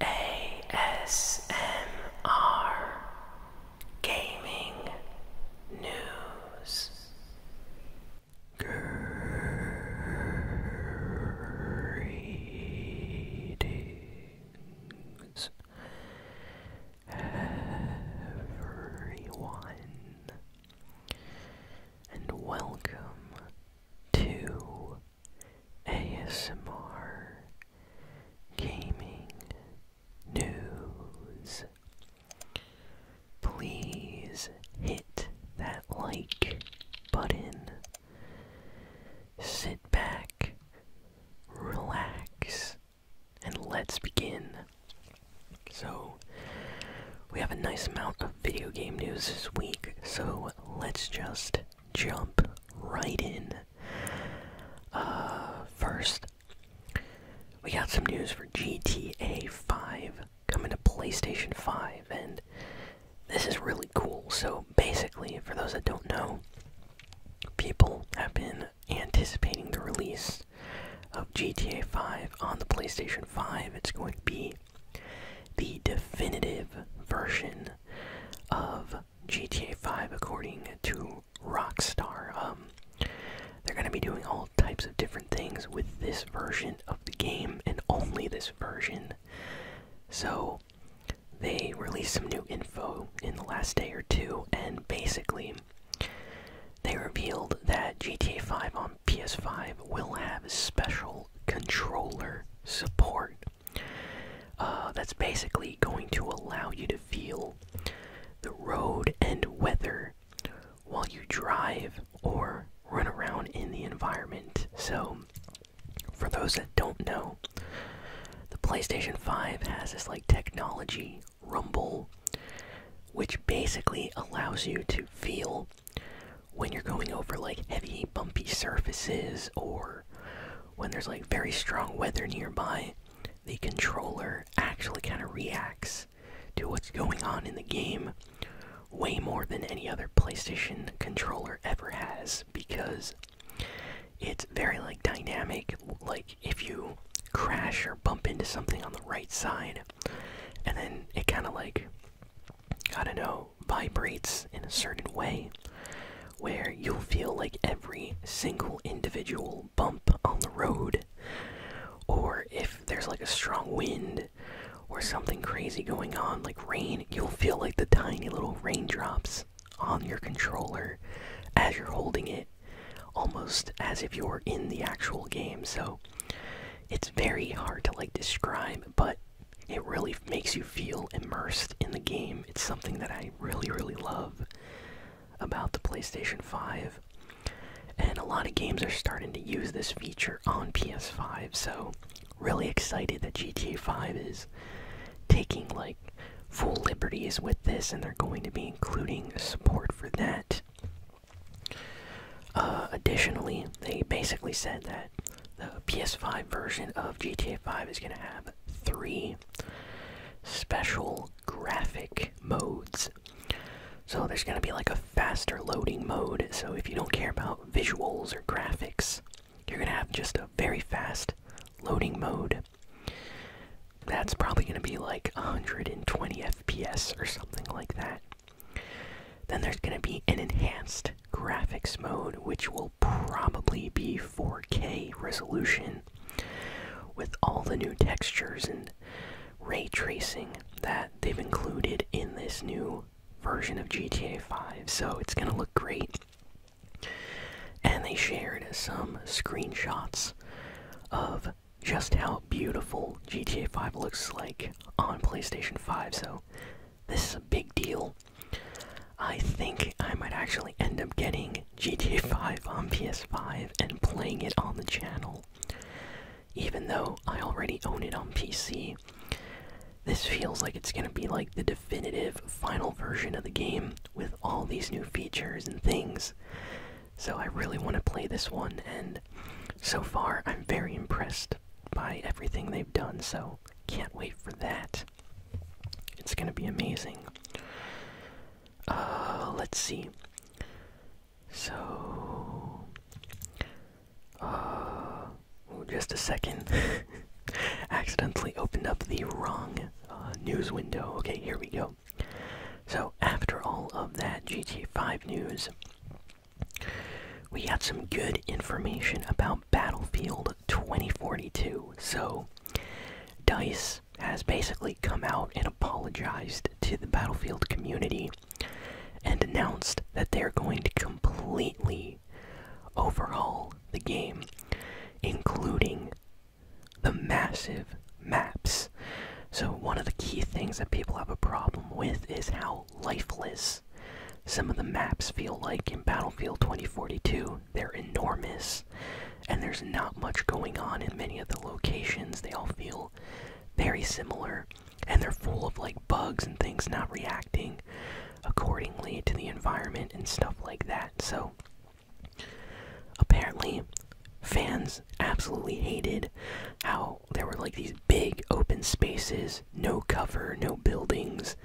ASMR Gaming News. Greetings, everyone, and welcome to ASMR Gaming News. Please hit that like button. Sit back, relax, and let's begin. So, we have a nice amount of video game news this week, so let's just jump right in. Uh, first, we got some news for GTA 5 coming to PlayStation 5, and this is really cool. So, basically, for those that don't know, people have been anticipating the release of GTA 5 on the PlayStation 5. It's going to be the definitive version of GTA 5, according to Rockstar. Um, they're going to be doing all types of different things with this version of the game and only this version. So, they released some new info in the last day or two, and basically, they revealed that GTA 5 on PS5 will have special controller support. Uh, that's basically going to allow you to feel the road and weather while you drive or run around in the environment. So, for those that don't know, the PlayStation 5 has this like technology rumble, which basically allows you to feel when you're going over like heavy, bumpy surfaces or when there's like very strong weather nearby, the controller actually kind of reacts to what's going on in the game way more than any other PlayStation controller ever has because it's very like dynamic like if you crash or bump into something on the right side and then it kind of like I don't know vibrates in a certain way where you'll feel like every single individual bump on the road, or if there's like a strong wind or something crazy going on, like rain, you'll feel like the tiny little raindrops on your controller as you're holding it, almost as if you're in the actual game. So it's very hard to like describe, but it really makes you feel immersed in the game. It's something that I really, really love about the PlayStation 5. And a lot of games are starting to use this feature on PS5, so really excited that GTA 5 is taking like full liberties with this and they're going to be including support for that. Uh, additionally, they basically said that the PS5 version of GTA 5 is going to have three special graphic modes. So there's going to be like a faster loading mode. So if you don't care about visuals or graphics, you're going to have just a very fast loading mode. That's probably going to be like 120 FPS or something like that. Then there's going to be an enhanced graphics mode, which will probably be 4K resolution with all the new textures and ray tracing that they've included in this new version of GTA 5. So it's going to look great. And they shared some screenshots of just how beautiful GTA 5 looks like on PlayStation 5. So this is a big deal. I think I might actually end up getting GTA 5 on PS5 and playing it on the channel. Even though I already own it on PC, this feels like it's gonna be like the definitive final version of the game with all these new features and things. So I really want to play this one, and so far, I'm very impressed by everything they've done, so can't wait for that. It's gonna be amazing. Uh, let's see. So, uh, just a second. Accidentally opened up the wrong uh, news window. Okay, here we go. So, after all of that GTA 5 news, we got some good information about Battlefield 2042. So, DICE has basically come out and apologized to the Battlefield community and announced that they're going to completely overhaul the game, including the massive maps. So, one of the key things that people have a problem with is how lifeless. Some of the maps feel like in Battlefield 2042, they're enormous, and there's not much going on in many of the locations. They all feel very similar, and they're full of like bugs and things not reacting accordingly to the environment and stuff like that. So, apparently, fans absolutely hated how there were like these big open spaces, no cover, no buildings,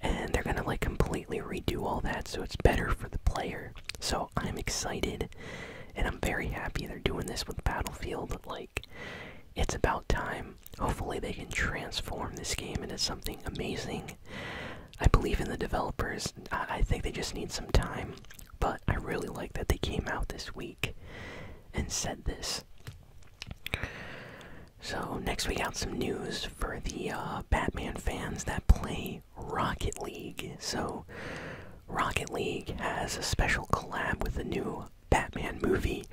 and they're gonna like completely redo all that so it's better for the player. So I'm excited and I'm very happy they're doing this with Battlefield. Like, it's about time. Hopefully, they can transform this game into something amazing. I believe in the developers. I think they just need some time. But I really like that they came out this week and said this. So, next we got some news for the uh, Batman fans that play Rocket League. So, Rocket League has a special collab with the new Batman movie,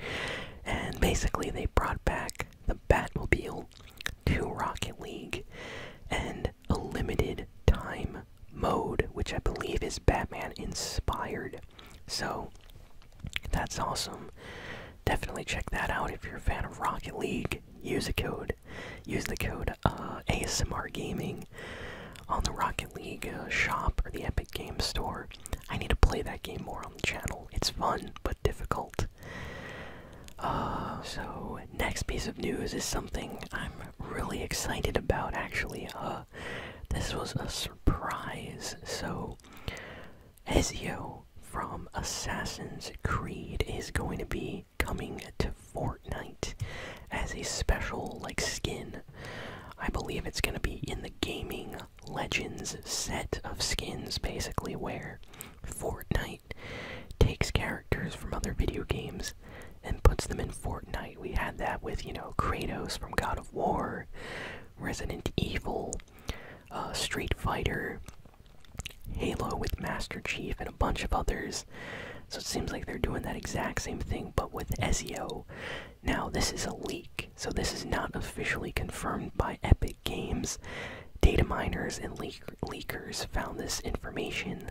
and basically they brought back the Batmobile to Rocket League, and a limited time mode, which I believe is Batman inspired. So that's awesome. Definitely check that out if you're a fan of Rocket League. Use a code. Use the code uh, ASMR Gaming on the Rocket League uh, shop or the Epic Game Store. I need to play that game more on the channel. It's fun but difficult. Uh, so next piece of news is something I'm really excited about. Actually, uh, this was a surprise. So, Ezio from Assassin's Creed is going to be coming to Fortnite as a special like skin. I believe it's going to be in the gaming legends set of skins basically where Fortnite takes characters from other video games and puts them in Fortnite. We had that with, you know, Kratos from God of War, Resident Evil, uh, Street Fighter, Halo with Master Chief, and a bunch of others. So it seems like they're doing that exact same thing, but with Ezio. Now, this is a leak, so this is not officially confirmed by Epic Games. Data miners and leakers found this information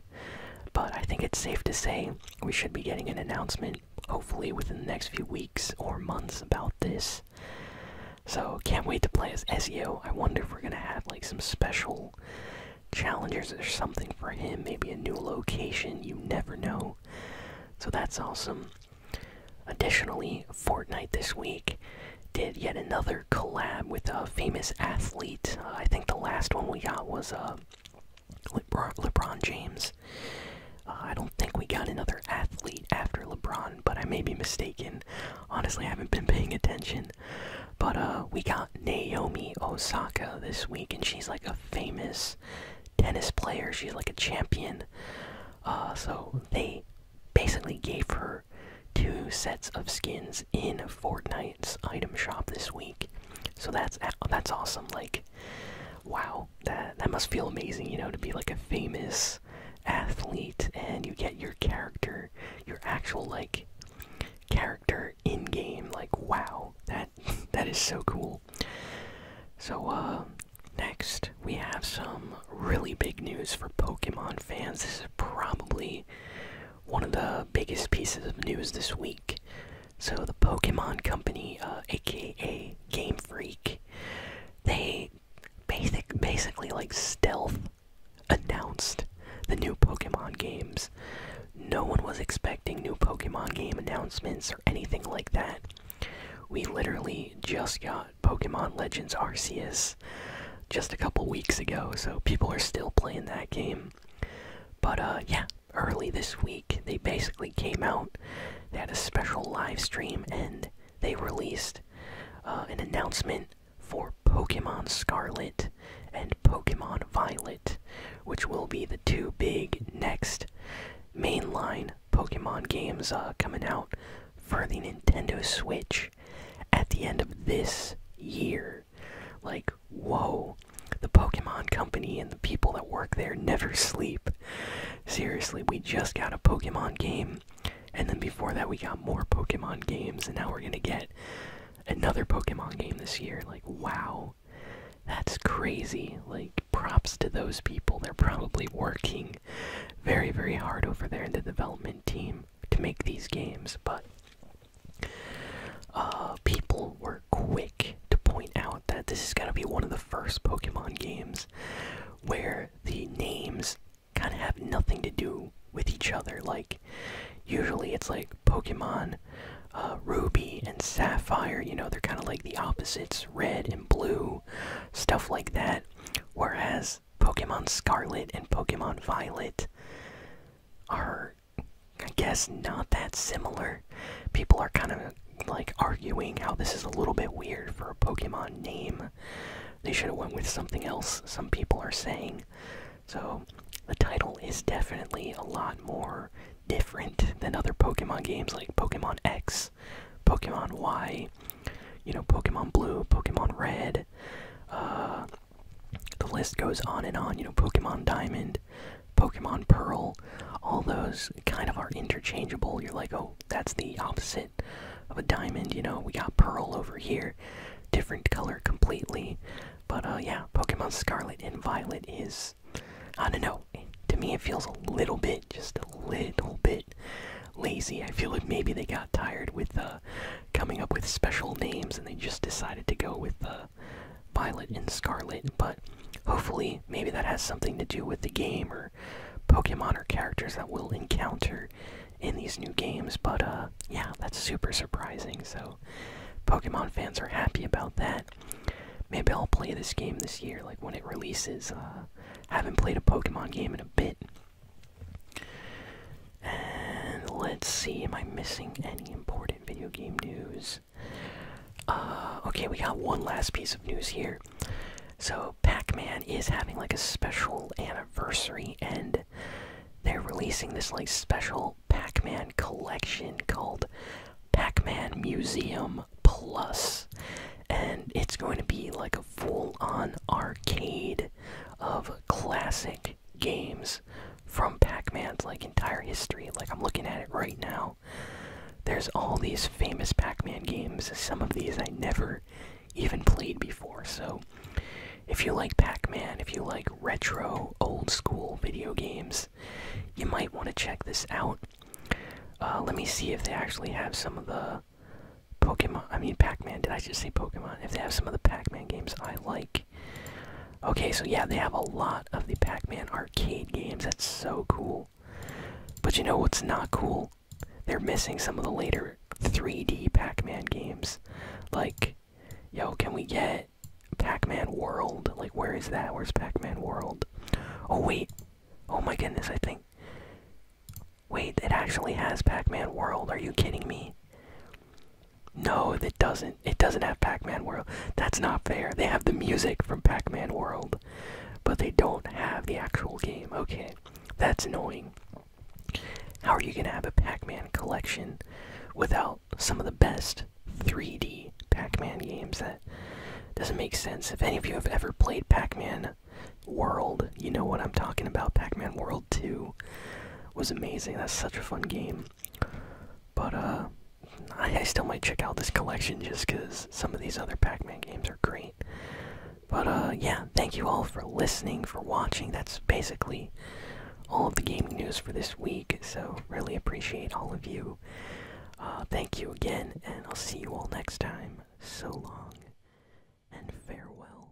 but I think it's safe to say we should be getting an announcement, hopefully within the next few weeks or months, about this. So can't wait to play as SEO. I wonder if we're gonna have like some special challengers or something for him, maybe a new location. You never know. So that's awesome. Additionally, Fortnite this week did yet another collab with a famous athlete. Uh, I think the last one we got was a. Uh, LeBron, James. Uh, I don't think we got another athlete after LeBron, but I may be mistaken. Honestly, I haven't been paying attention. But uh, we got Naomi Osaka this week, and she's like a famous tennis player. She's like a champion. Uh, so they basically gave her two sets of skins in Fortnite's item shop this week. So that's oh, that's awesome. Like, wow, that that must feel amazing, you know, to be like a famous athlete and you get your character, your actual like character in game. Like, wow, that that is so cool. So uh, next we have some really big news for Pokemon fans. This is probably one of the biggest pieces of news this week. So the Pokemon Company, aka uh, Game Freak, they basic basically like stealth announced the new Pokemon games. No one was expecting new Pokemon game announcements or anything like that. We literally just got Pokemon Legends Arceus just a couple weeks ago, so people are still playing that game. But uh, yeah, early this week they basically came out. They had a special live stream and they released uh, an announcement for Pokemon Scarlet and Pokemon Violet, which will be the two big next mainline Pokemon games uh, coming out for the Nintendo Switch at the end of this year. Like, whoa. The Pokemon Company and the people that work there never sleep. Seriously, we just got a Pokemon game. And then before that, we got more Pokemon games. And now we're going to get another Pokemon game this year. Like, wow. That's crazy. Like, props to those people. They're probably working very, very hard over there in the development team to make these games. But uh, people were quick to point out that this is going to be one of the first Pokemon games where the names kind of have nothing to do with each other. Like, usually it's like Pokemon uh, Ruby and Sapphire, you know, they're kind of like the opposites red and blue, stuff like that. Whereas Pokemon Scarlet and Pokemon Violet are I guess not that similar. People are kind of like arguing how this is a little bit weird for a Pokemon name. They should have went with something else. Some people are saying. So the title is definitely a lot more different than other Pokemon games like Pokemon X, Pokemon Y, you know, Pokemon Blue, Pokemon Red. Uh, the list goes on and on. You know, Pokemon Diamond, Pokemon Pearl, all those kind of are interchangeable. You're like, oh, that's the opposite of a diamond. You know, we got Pearl over here, different color completely. But uh, yeah, Pokemon Scarlet and Violet is, I don't know. To me, it feels a little bit, just a little bit lazy. I feel like maybe they got tired with uh, coming up with special names and they just decided to go with uh, Violet and Scarlet, but hopefully maybe that has something to do with the game or Pokemon or characters that we'll encounter in these new games. But uh, yeah, that's super surprising. So Pokemon fans are happy about that. Maybe I'll play this game this year, like when it releases. Uh, haven't played a Pokemon game in a bit. And let's see, am I missing any important video game news? Uh, okay, we got one last piece of news here. So, Pac Man is having like a special anniversary, and they're releasing this like special Pac Man collection called Pac Man Museum And it's going to be like a full on arcade of classic games from Pac-Man's like entire history. Like I'm looking at it right now. There's all these famous Pac-Man games. Some of these I never even played before. So if you like Pac-Man, if you like retro old school video games, you might want to check this out. Uh, let me see if they actually have some of the Pokemon, I mean Pac-Man, did I just say Pokemon? If they have some of the Pac-Man games I like. Okay, so yeah, they have a lot of the Pac Man arcade games. That's so cool. But you know what's not cool? They're missing some of the later 3D Pac Man games. Like, yo, can we get Pac Man World? Like, where is that? Where's Pac Man World? Oh, wait. Oh my goodness, I think. Wait, it actually has Pac Man World. Are you kidding me? No, it doesn't. It doesn't have Pac-Man World. That's not fair. They have the music from Pac-Man World, but they don't have the actual game. Okay, that's annoying. How are you gonna have a Pac-Man collection without some of the best 3D Pac-Man games? That doesn't make sense. If any of you have ever played Pac-Man World, you know what I'm talking about. Pac-Man World 2 was amazing. That's such a fun game. But uh, I, I still might check out this collection just because some of these other Pac-Man games are great. But uh, yeah, thank you all for listening, for watching. That's basically all of the gaming news for this week. So really appreciate all of you. Uh, thank you again, and I'll see you all next time. So long, and farewell.